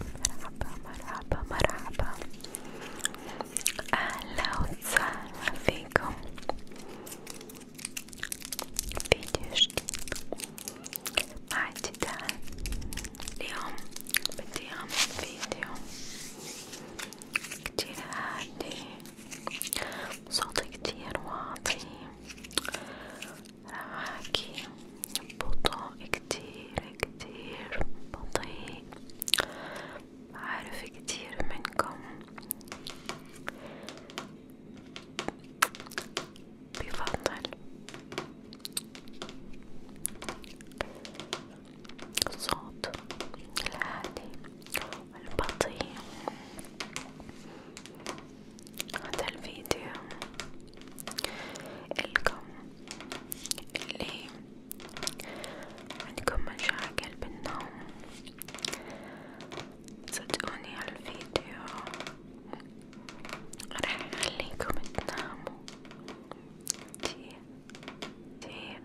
مرحبا مرحبا مرحبا أهلا وسهلا فيكم فيديو جديد مع جدال اليوم بدي أعمل فيديو كتير هادي صوتي كتير واطي راح أحكي بطء كتير كتير بطيء عارف كتير منكم بفضل الصوت الهادي والبطيء هذا الفيديو إلكم اللي عندكم مشاكل بالنوم صدقوني هالفيديو راح يخليكم تناموا كتير كتير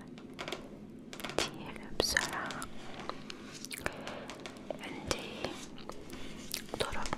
كتير بسرعة عندي طرق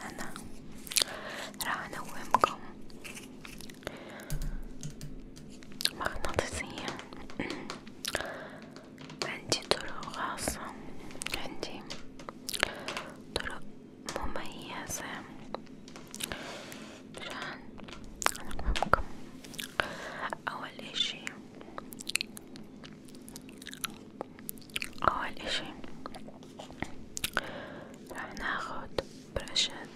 أنا راح أنومكم مغناطيسيا عندي طرق خاصة عندي طرق مميزة عشان أنومكم أول إشي أول إشي راح ناخد برشات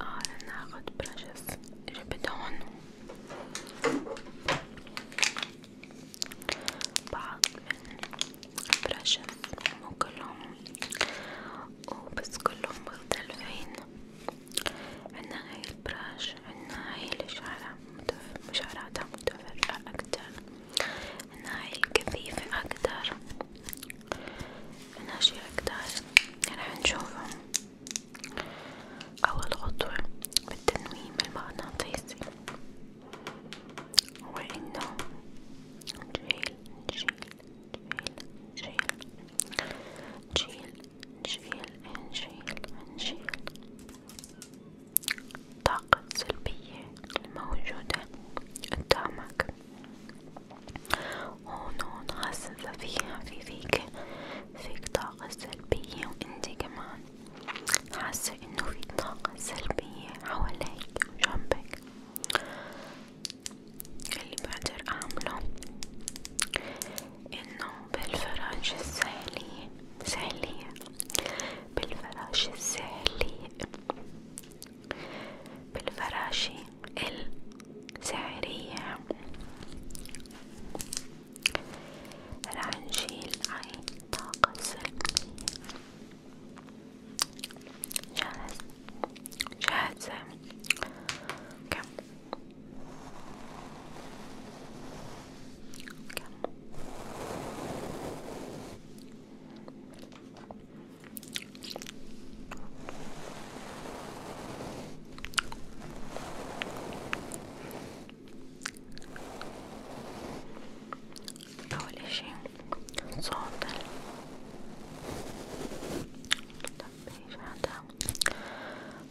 اه راح ناخد برشز جبتهن بعض من برشز مو كلهم وبس كلهم مختلفين عنا هاي البراش عنا هاي الشعرة مشعراتها متفرقة أكتر عنا هاي الكثيفة أكتر عنا شي أكتر رح نشوفهم أول خطوة بالتنويم المغناطيسي هو إنه نشيل نشيل نشيل نشيل نشيل نشيل نشيل الطاقة السلبية الموجودة قدامك هون هون حاسة فيها في فيك فيك طاقة سلبية وانتي كمان حاسة انه في طاقة سلبية حواليك وجنبك اللي بقدر اعمله انه بالفراش الساهلية ساهلية بالفراش الساهلية بالفراشة السحرية رح نشيل أي طاقة سلبية جاهز جاهزة كم Calma. Tá, olha, gente, solta. Tá já tá.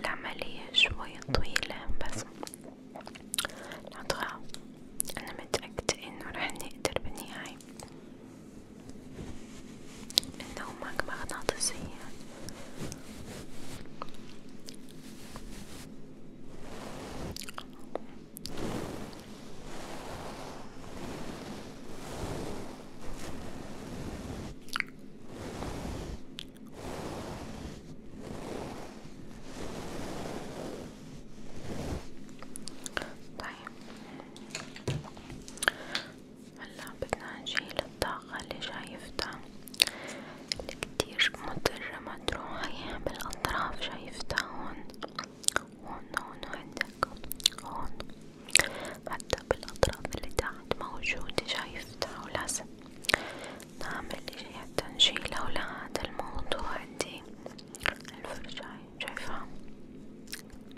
العملية شوية طويلة بس نضغط أنا متأكدة إنه راح نقدر بالنهاية إنه ماك مغناطيسية طيب هلا بدنا نشيل الطاقة اللي شايفتها كتير مترجمة تروحي بالأطراف شايفتها هون هون هون عندك هون حتى بالأطراف اللي تحت موجودة شايفتها ولازم نعمل إشي حتى نشيلها ولهذا الموضوع عندي الفرشاي شايفها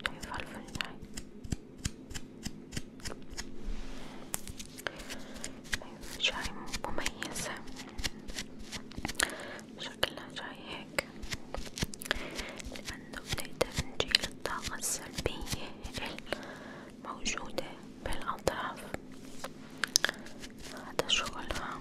شايفها الفرشاي شاي مميزة شكلها جاي هيك لأنه بنقدر نجيل الطاقة السلبية الموجودة بالأطراف هذا شغلها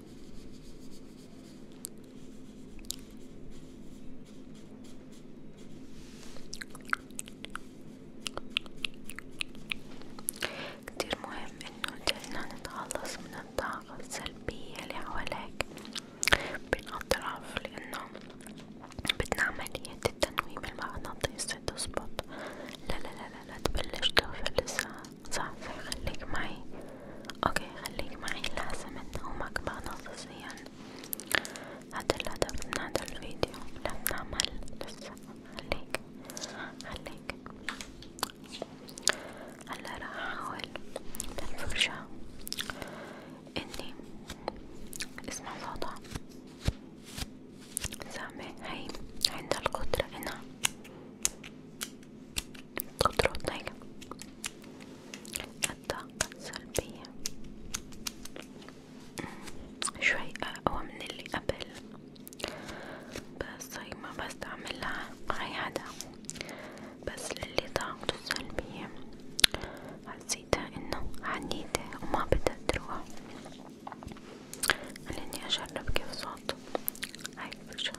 كتير مهم انه نحنا نتخلص من الطاقة السلبية اللي حواليك بين اطراف لانه بدنا عملية التنويم المغناطيسي تزبط لا لا لا لا, لا تبلش تغفل لسان صح خليك معي اوكي خليك معي لازم نومك بعد نصيصيا هذا الهدف من هذا الفيديو لا بنعمل لسه خليك خليك هلا راح احاول بالفرشة اني اسمع صوتها سامع هي عندها القدرة انها قدراتك الطاقة السلبية شوي أقوى من اللي قبل بس هي ما بستعملها أي حدا بس للي طاقته سلبية حسيتها انه عنيدة وما بدها تروح خليني اجرب كيف صوت هاي الفرشة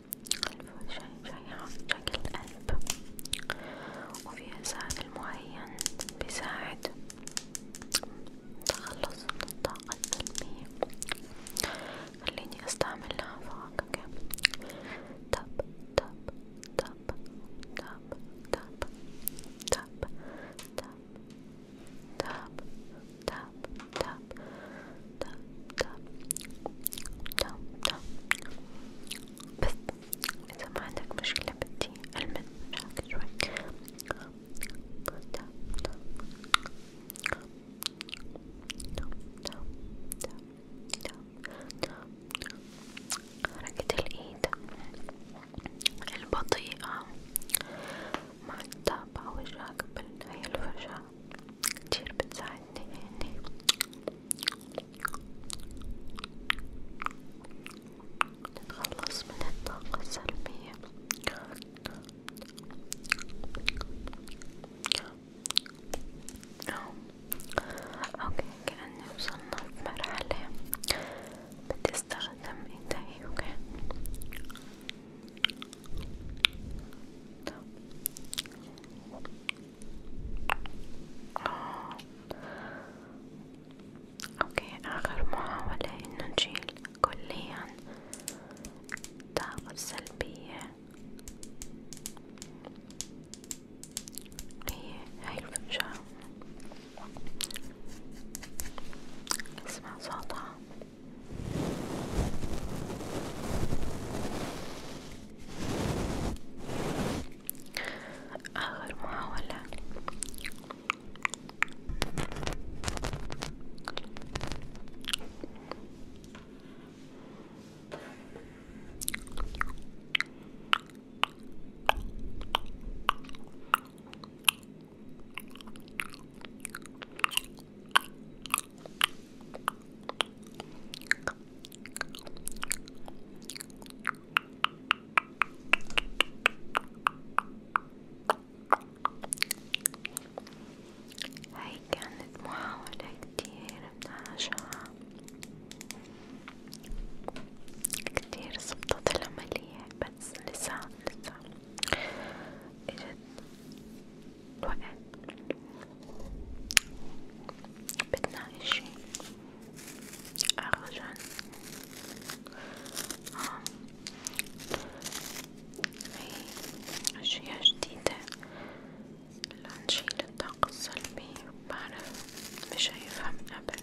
شريحة شكل قلب وفي سائل معين بيساعد تخلص من الطاقة السلبية خليني استعملها فوقك تب تب تب تب تب تب تب تب تب tap tap tap tap tap tap بس إذا ما عندك مشكلة بدي ألمس وجهك شوي تاب تاب حركة الإيد البطيئة مع تتابع وجهك بالهي الفرشاة كتير بتساعدني يعني نتخلص من الطاقة السلبية اوكي كأني وصلنا في مرحلة بدي استخدم ايدي اوكي اوكي اخر محاولة انه نشيل كليا الطاقة السلبية هي إيه، هاي الفنجان اسمع صوتها آخر محاولة هاي كانت محاولة كتير ناجحة كتير صبتت العملية بس لسه لسه اجت وقال بدنا اشي أرجع آه. هي أشياء جديدة لنشيل الطاقة السلبية بعرف مش هيفهم أبدا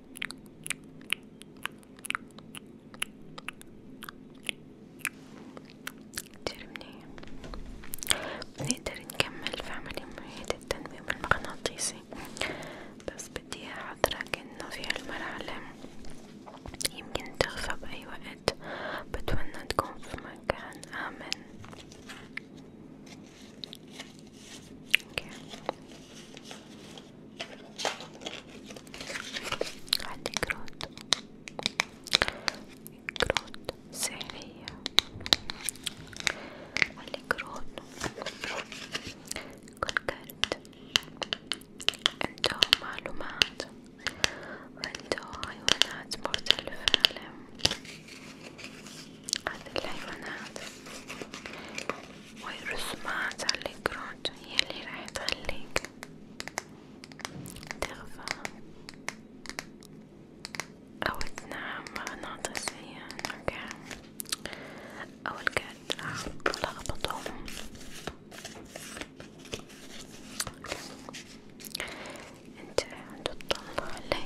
جربني بنقدر نكمل في عملية التنويم المغناطيسي بس بدي أحضرك إنه في هالمرحلة يمكن تخفى بأي وقت بتمنى تكون في مكان آمن اوكي عندي كروت كروت سحرية عندي كروت كل كرت عنده معلومات وعنده حيوانات مختلفة هذه الحيوانات والرسومات على الكروت هي اللي راح تخليك تغفى أو تنام مغناطيسيا أوكي أو الكاد راح تلخبطهم انت تطلع لي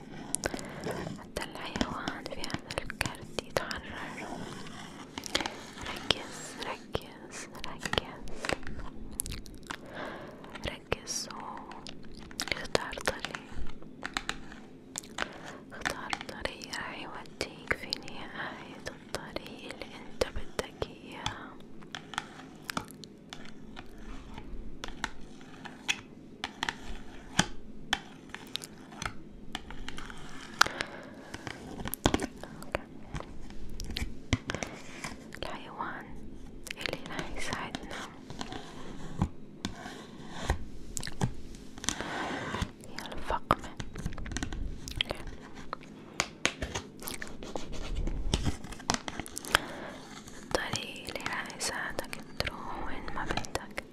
حتى الحيوان في هذا الكرت يتحرر ركز ركز ركز ركز واختار طريق اختار طريق راح يوديك في نهاية الطريق اللي انت بدك اياه الحيوان اللي راح يساعدنا هي الفقمة طريق اللي راح يعني يساعدك تروح وين ما بدك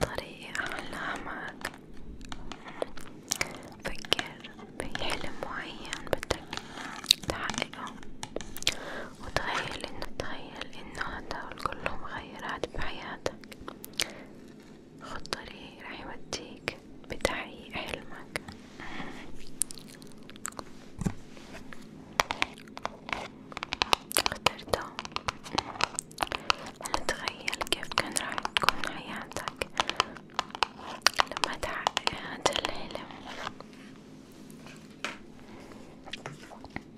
طريق أحلامك فكر في حلم معين بدك تحققه وتخيل إنه تخيل إنه هدول كلهم مغيرات بحياتك خد طريق راح يوديك بتحقيق حلمك اخترته هل تخيل كيف كان راح تكون حياتك لما تحقق هذا الحلم انك انت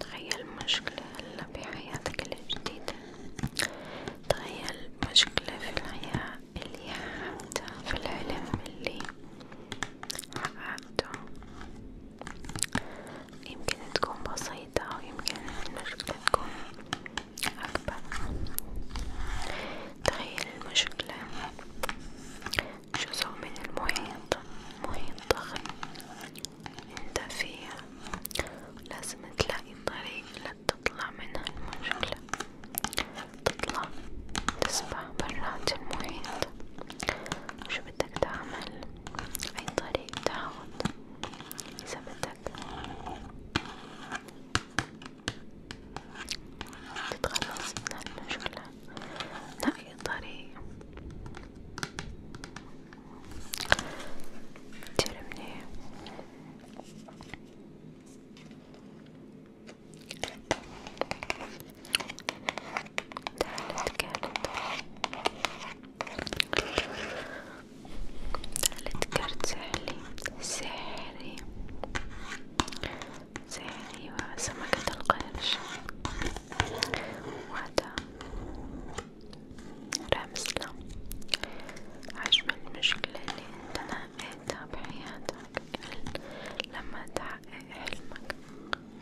تخيل مشكلة هلا بحياتك الجديدة تخيل مشكلة في الحياة اللي حققتها في العلم اللي حققته يمكن تكون بسيطة ويمكن المشكلة تكون أكبر تخيل المشكلة جزء من المحيط محيط ضخم انت فيها لازم تلاقي طريق لتطلع من هالمشكلة تطلع تسبح برات المحيط شو بدك تعمل اي طريق تاخد اذا بدك تتخلص من هالمشكلة لاقي طريق ترمني ثالث كرت ثالث كرت سحري سحري سحري وسمكة القرش وهذا رمزلة حجم المشكلة اللي انت نقيتها بحياتك لما تحقق حلمك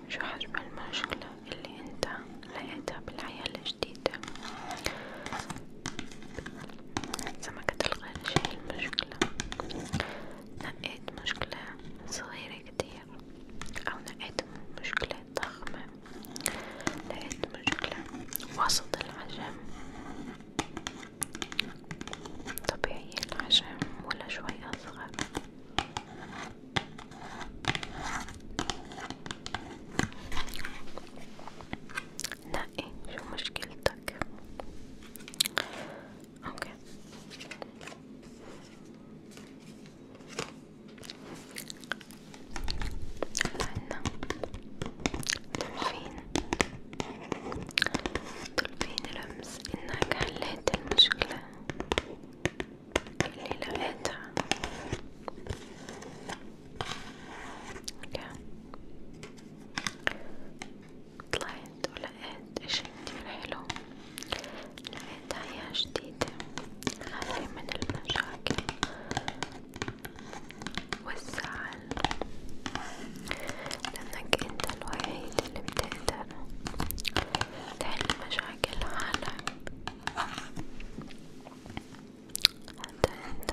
شو حجم المشكلة اللي انت لقيتها بالحياة الجديدة سمكة القرش هي المشكلة نقيت مشكلة صغيرة كتير شوية أو لقيت مشكلة ضخمة لقيت مشكلة وسط الحجم طبيعي الحجم ولا شوي أصغر نقي إيه، شو مشكلتك اوكي عنا طرفين طرفين لمس إنك حليت المشكلة اللي لقيتها طلعت ولقيت اشي كتير حلو لقيت حياة جديدة خالية من المشاكل والزعل لأنك أنت الوحيد اللي بتقدر تحل مشاكل حالك أنت أنت